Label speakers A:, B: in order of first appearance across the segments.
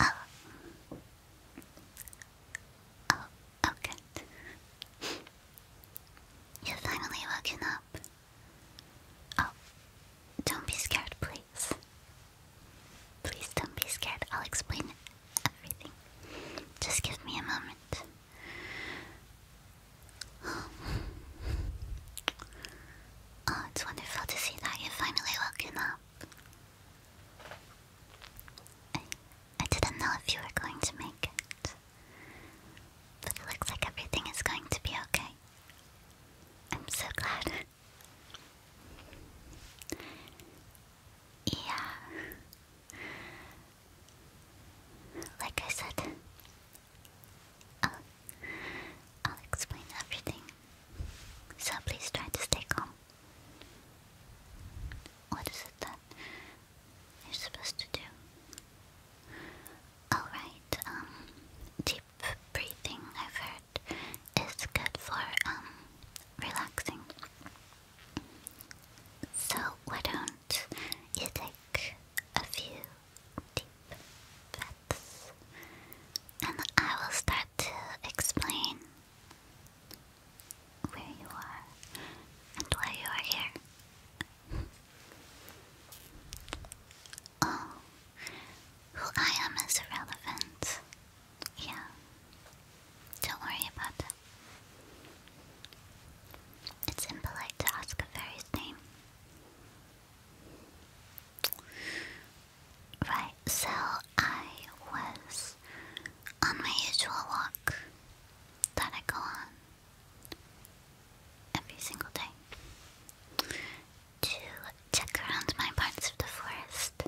A: Oh. Oh, oh You've finally woken up. Oh, don't be scared, please. Please don't be scared. I'll explain everything. Just give me a moment. Oh, it's wonderful to see that you're finally woken up. I, I didn't know if you were going to make it. But it looks like everything is going to be okay. I'm so glad. Yeah. Like I said, I'll, I'll explain everything. So please try to stay calm. What is it that you're supposed to do? Alright, um, deep breathing, I've heard, is good for, um, relaxing. So, why don't you take a few deep breaths and I will start to explain where you are and why you are here. Oh, who I am is irrelevant. Yeah, don't worry about that. It's impolite to ask a fairy's name. Right, so I was on my usual walk that I go on every single day to check around my parts of the forest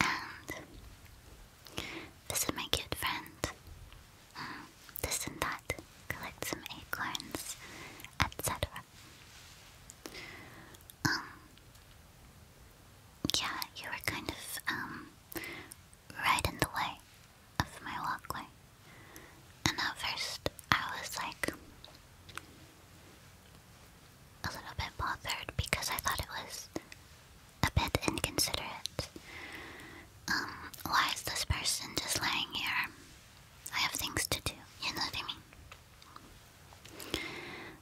A: and this is my cute friend. Um, this and that. Collect some acorns, etc. Um, yeah, you were kind of, um, right in the way of my walkway. And at first, I was like a little bit bothered because I thought it was a bit inconsiderate. Um, why is this person just lying here? I have things to do, you know what I mean?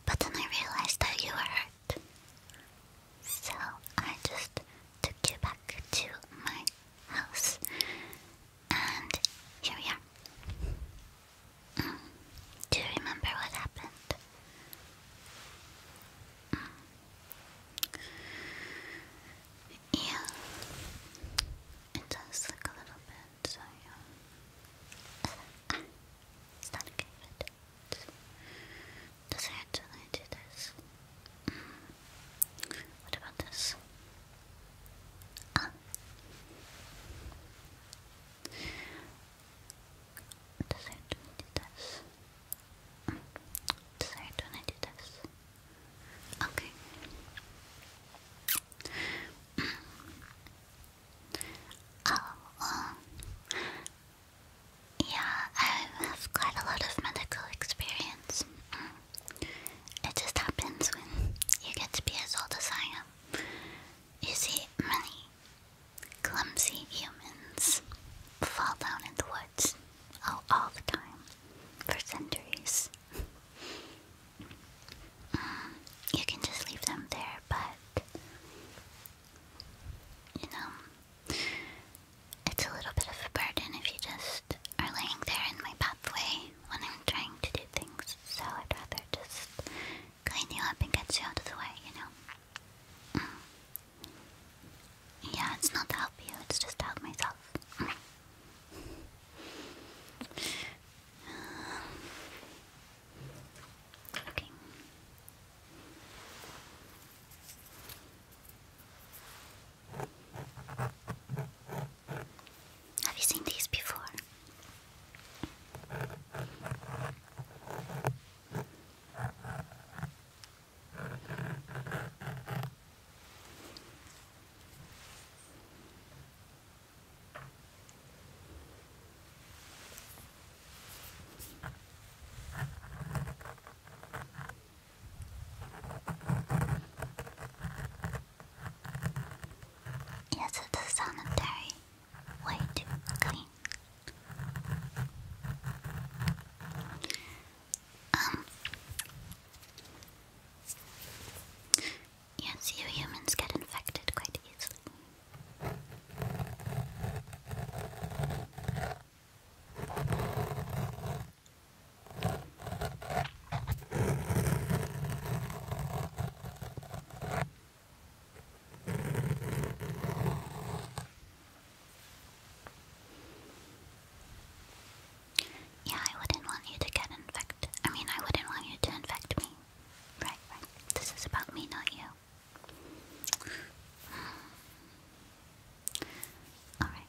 A: But then I realized that you were hurt. So I just took you back to my house. And here we are. Mm. Do you remember what happened? Yeah, it does look a little bit, so yeah. it's not a good fit. Does it hurt I do this? What about this? Ah. Tá certo, meditas. Tá certo, meditas. Ok. Oh, um, Yeah, I have quite a lot of medical experience. Mm. It just happens when you get to be as old as I am. You see, many Clumsy humans fall down in the woods all, the time for centuries. Mm, you can just leave them there, but you know, it's a little bit of a burden if you just are laying there in my pathway when I'm trying to do things, so I'd rather just clean you up and get you out of the way, you know? Mm. Yeah, it's not to help you, it's just to help myself. Mm. okay. Have you seen these before? Yes, it does Wait. Um, yes, you humans get infected quite easily. Yeah, I wouldn't want you to get infected. I mean, I wouldn't want you to infect me. Right, right. This is about me, not you. Alright.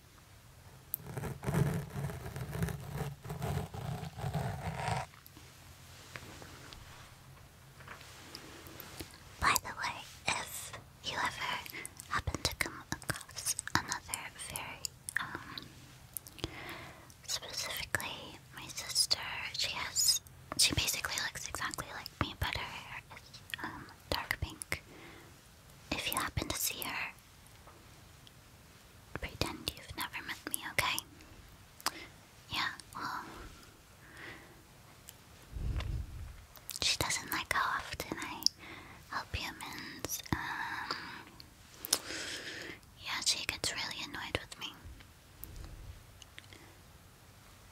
A: By the way, if you ever happen to come across another very, um, specifically my sister, she has, she basically looks exactly like me, but her hair is, um, dark pink. If you happen to see her, pretend you've never met me, okay? Yeah, well. She doesn't like how often I help humans. Um, yeah, she gets really annoyed with me.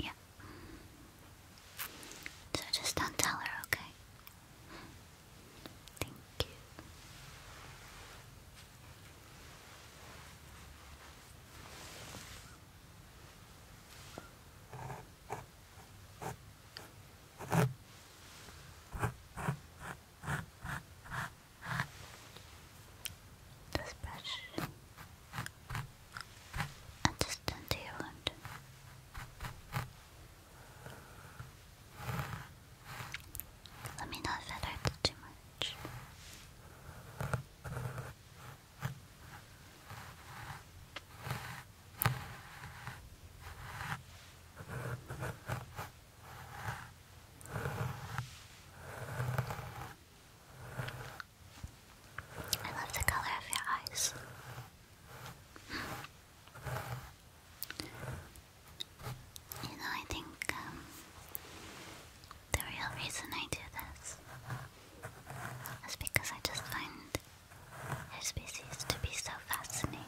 A: Yeah, so just don't tell her, okay? Thank you. This Understand do you want? Let me not that hurts too much. I love the color of your eyes. You know, I think um, the real reason I do this is because I just find your species to be so fascinating.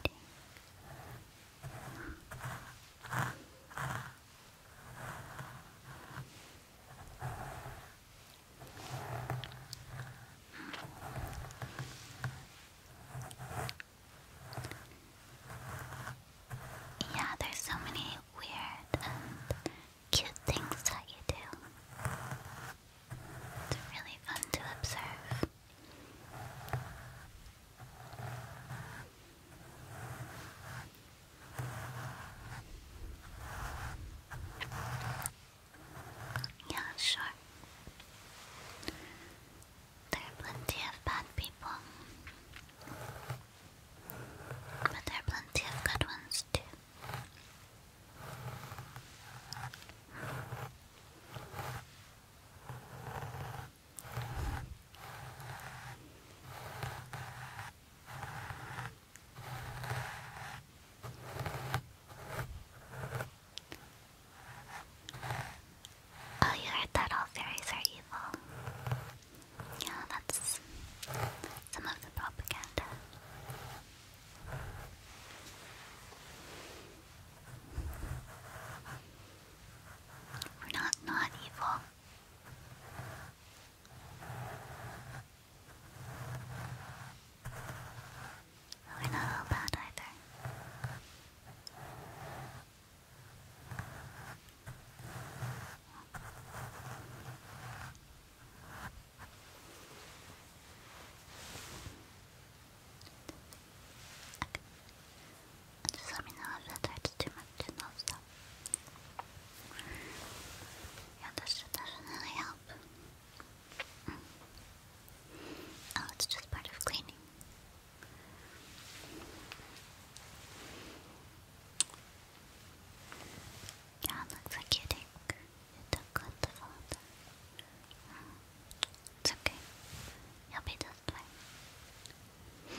A: Yeah, there's so many weird and cute things that you do. It's really fun to observe. Yeah, sure. There are plenty of bad people. But there are plenty of good ones too. Oh, you heard that all fairies are evil. Yeah, that's some of the propaganda. We're not not evil. We're not all bad either. Okay. Just let me know if it hurts too much and I'll Yeah, this should definitely help. Oh, it's just part of cleaning. Yeah, looks like you took, you took with the water. Mm. It's okay. You'll be just fine.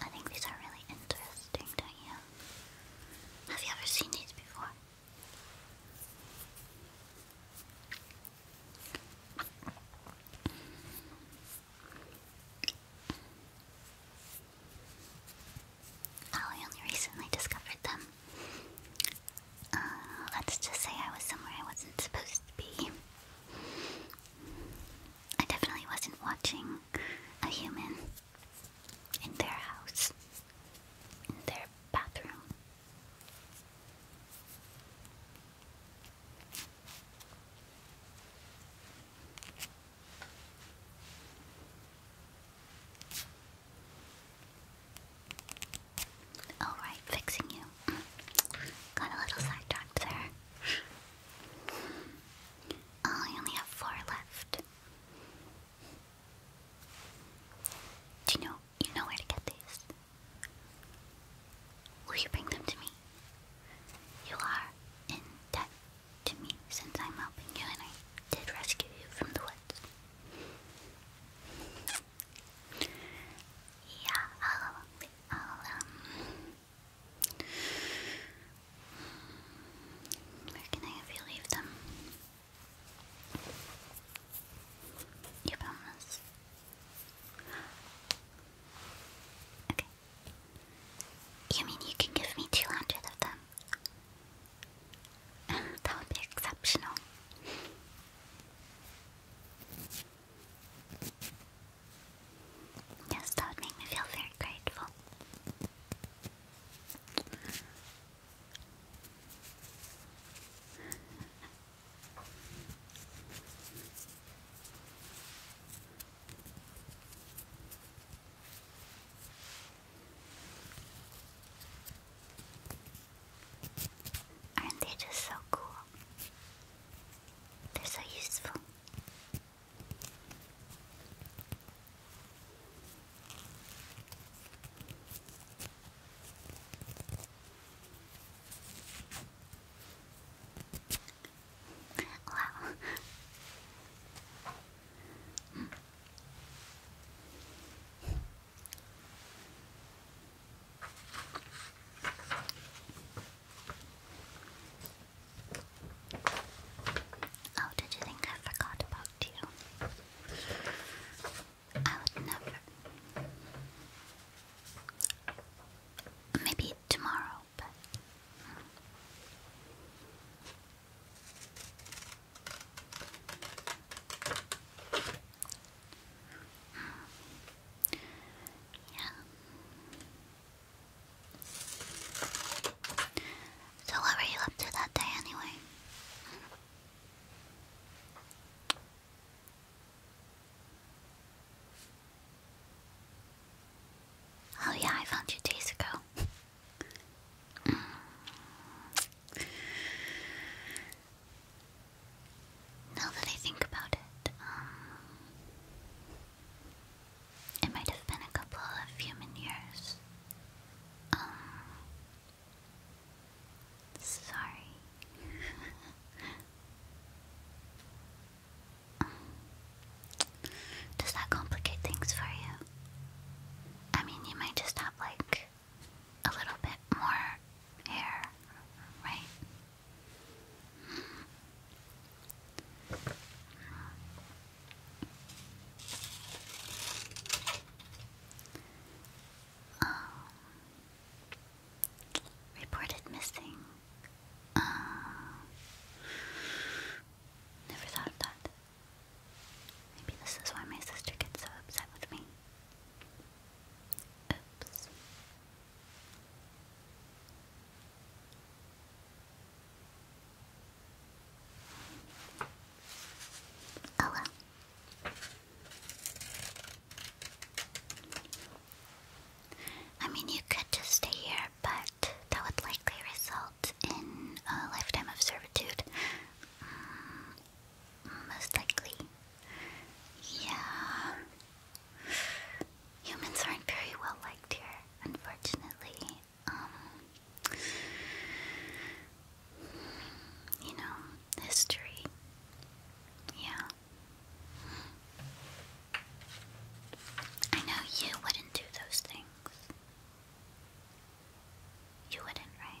A: I think these are really interesting, don't you? Have you ever seen these before? I only recently discovered them. Uh, let's just say I was somewhere I wasn't supposed to be. I definitely wasn't watching a human in their house, in their bathroom. All right, fixing you. Got a little sidetracked there. Oh, I only have four left. Do you know you know where to get these? Will you bring them to me? You are in to me since I'm helping you and I did rescue you from the woods. Yeah, I'll, I'll um, Where can I have you leave them? You promise. Okay. You mean you can give me 200 of them? that would be exceptional. Yes, that would make me feel very grateful. Aren't they just so cool? They're so useful. Wow. Oh, did you think I forgot about you? I would never. Maybe tomorrow, but. Yeah. So, what were you up to that day anyway? Oh, yeah, I found you days ago. Now that I think about it, um, it might have been a couple of human years. Um, sorry. Does that complicate things for you? I mean, you might just have like a little bit more hair, right? Oh. reported missing. Uh, never thought of that. Maybe this is why my sister gets so upset with me. Oops. I mean, you could just stay here, but that would likely result in a lifetime of servitude. Mm, most likely. Yeah. Humans aren't very well liked here, unfortunately. Um, you know, history. Yeah. I know you wouldn't do those things. You wouldn't, right?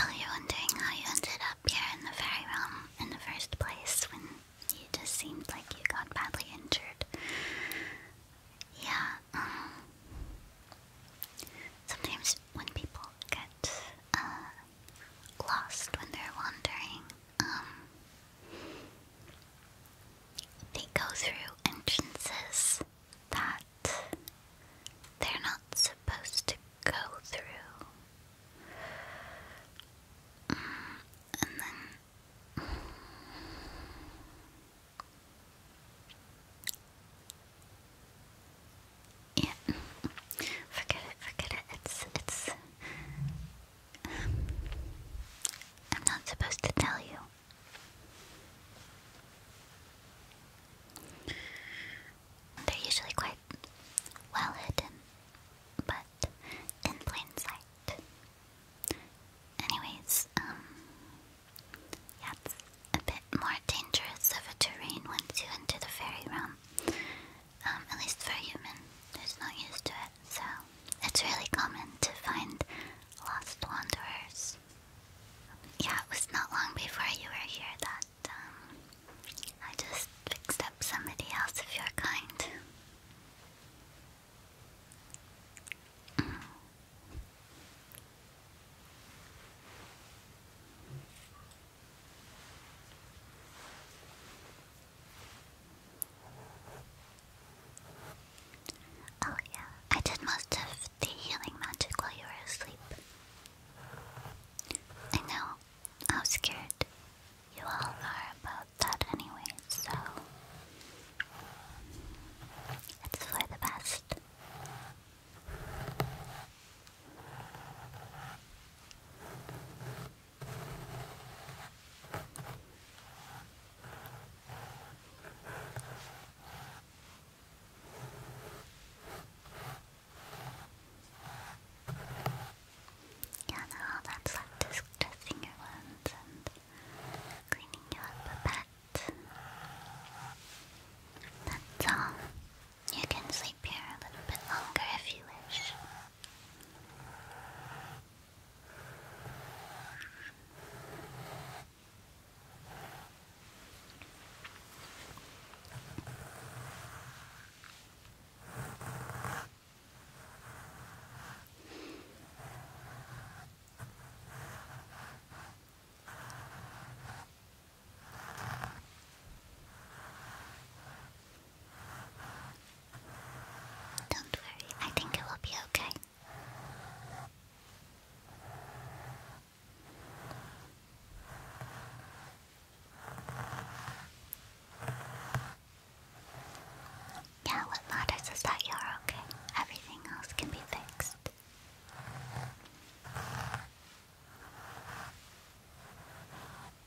A: Oh, you wondering how you ended up here in the fairy realm in the first place when you just seemed like you got badly injured. Yeah, um, sometimes when people get uh, lost when they're wandering, um, they go through entrances that they're not supposed to go through. Mm, and then. yeah, forget it, forget it. It's it's I'm not supposed to tell you. They're usually quite well hidden, but in plain sight. Anyways, um, a bit more dangerous of a terrain once you enter the fairy realm. Um, at least for a human who's not used to it. So it's really common to find lost wanderers. Yeah, it was not long before you were here that um, I just fixed up somebody else of your kind. Oh, yeah, I did most of the healing magic while you were asleep. I know how scared you all are about that, anyway, so it's for the best. Yeah, no, that's like dressing your wounds and cleaning you up a That's all. You can sleep here a little bit longer if you wish. Don't worry, I think it will be okay. Yeah, what matters is that you're okay. Everything else can be fixed.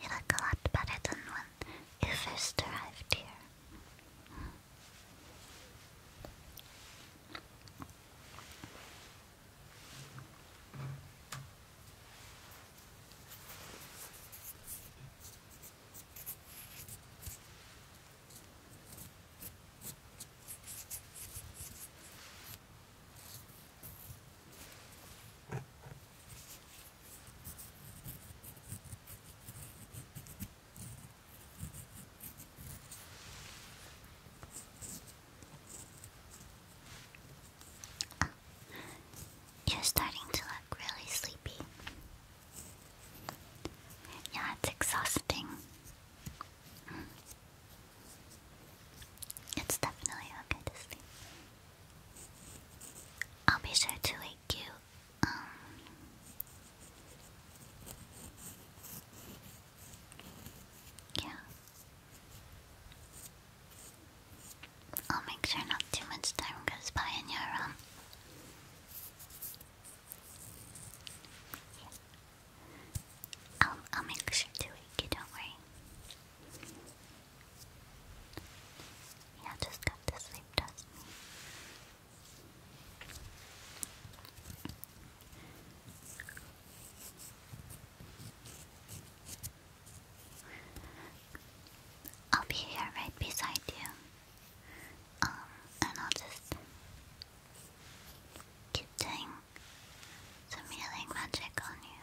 A: You a lot better than when you first arrived here. You're starting to look really sleepy. Yeah, it's exhausting. It's definitely okay to sleep. I'll be sure to wake you. Um, yeah. I'll make sure not too much time goes by in your room. Um, yeah. I'll, I'll make sure to wake you, don't worry. Yeah, just got to sleep, trust I'll be here right beside you. Um, and I'll just keep doing some healing magic on you.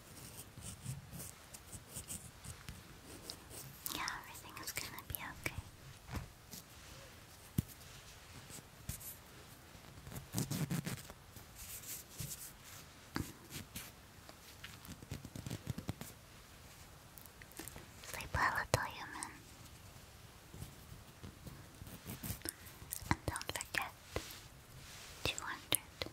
A: Yeah, everything is gonna be okay. Sleep well, little human. And don't forget, 200